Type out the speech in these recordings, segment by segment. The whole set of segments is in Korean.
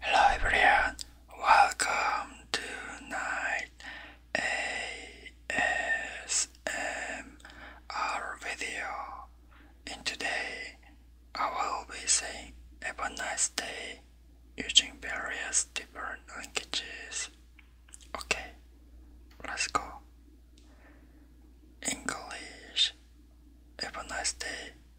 Hello everyone, welcome to night ASMR video. In today, I will be saying have a nice day using various different languages. Okay, let's go. English, have a nice day.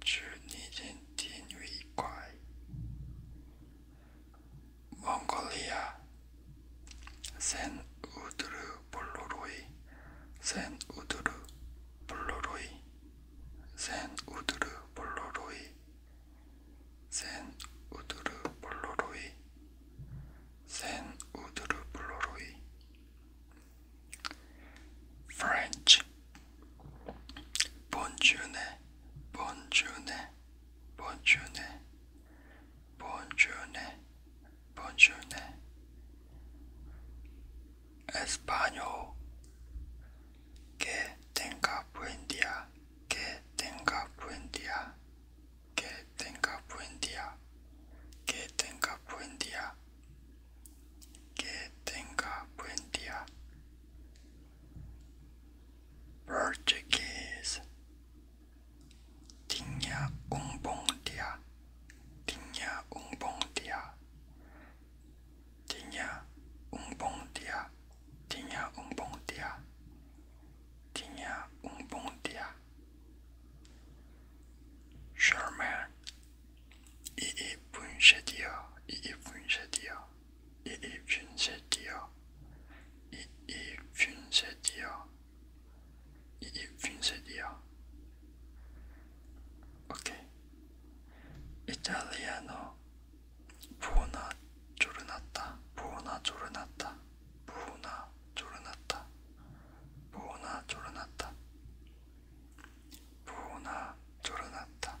주니젠틴 위과이 몽골리아 센 우드르 볼로로이 센 우드르 볼로로이 센 우드르 볼로로이 센 우드르 볼로로이 센 우드르 볼로로이 French Ponchone ponchone ponchone buongiorno, ponchone Español. Que tenga buen día, que tenga buen día, que tenga buen día, que tenga buen día, que tenga buen Portuguese Tinha um dia Tinha um dia Tinha um dia Tinha um dia Tinha um dia German E e punja dia E e punja dia 이입균세디어 이입균세디어 이입균세디어 오케이 이탈리아노 부나 조르났다 부나 조르났다 부나 조르났다 부나 조르났다 부나 조르났다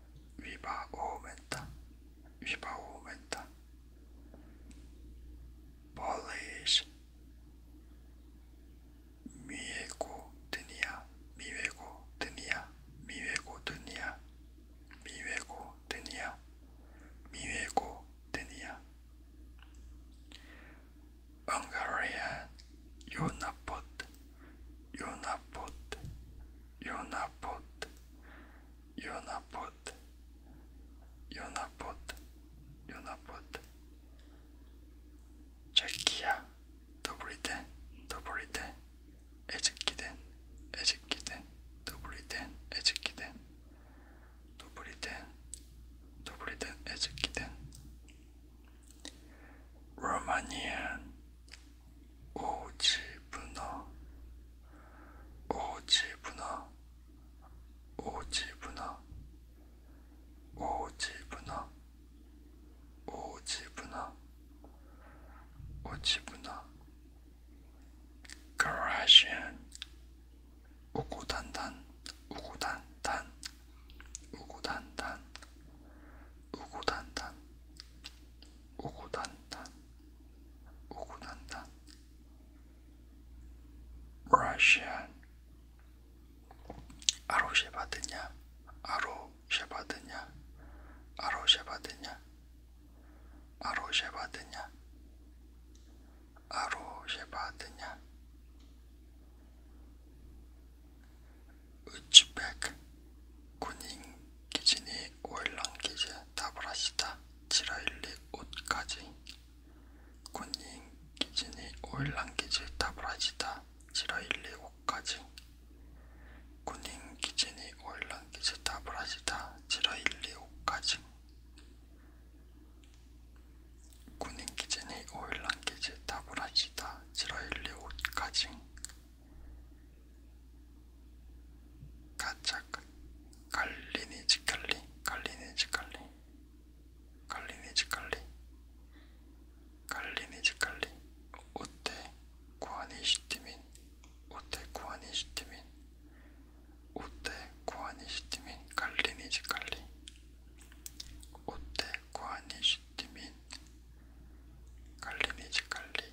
viva aumenta, viva aumenta. Polish 미외고 드니야 미외고 드니야 미외고 드니야 미외고 드니야 미외고 드니야 Hungarian 요나포트 요나포트 요나봇 요나봇 요나봇 요나봇 자키야 더블이든 더블이든 에즈키든 에즈키든 더블이든 에즈키든 더블이든 더블이든 에즈키든 로마니안 오지분어 오지분어 오지분어 오지분어 오지분어 오지분어 Garasian 우고단단 우고단단 우고단단 우고단단 오구단단 오구단단 Russian 아로쉐바드냐 아로쉐바드냐 아로쉐바드냐 아로쉐바드냐 아로쉐바드냐 우즈벡 군인 기진이 월랑기제 다브라시다 지라일리 옷까지 군인 기진이 월랑기제 다브라시다 지라일리 옷까지 군인 기진이 월랑기제 다브라시다 지라일리 옷까지 군인 기진이 월랑기제 다브라시다 지라일리 옷까지 가짜 갈리니 지칼리 갈리니 지칼리 갈리니 지칼리 갈리니 지칼리 우테 구하니 시티민 우테 구하니 시티민 우테 구하니 시티민 갈리니 지칼리 우테 구하니 시티민 갈리니 지칼리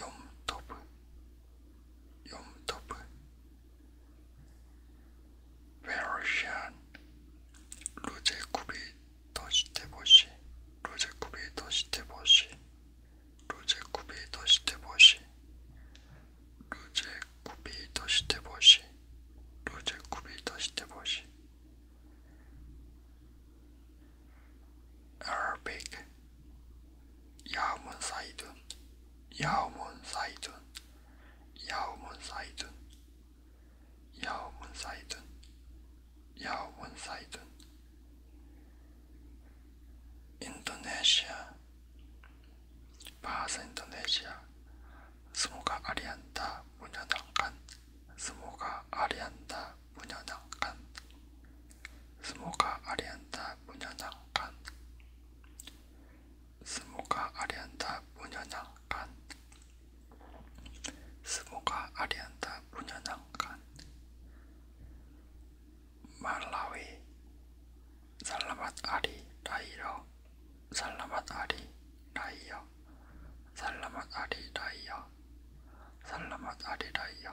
염터블 염터블 베러시안 로제쿠비 더시테보시 로제쿠비 더시테보시 로제쿠비 더시테보시 로제쿠비 더시테보시 로제쿠비 더시테보시 Arabic 야문 사이둔 야문 사이둔 야문 사이둔 야문 사이둔 야문 사이둔 인도네시아 바하사 인도네시아 스모가 아리안다 문화당간 스모가 아리안다 menyenangkan. Semoga Arianta menyenangkan. Semoga Arianta menyenangkan. Semoga Arianta menyenangkan. Malawi, selamat hari raya. Selamat hari raya. Selamat hari raya. Selamat hari raya.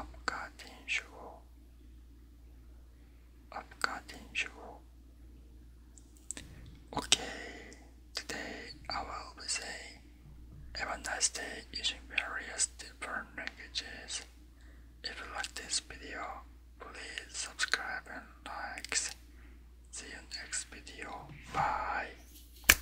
आपका दिन शुभ हो आपका दिन Okay, today I will be saying have a nice day using various different languages. If you like this video, please subscribe and likes. See you next video. Bye.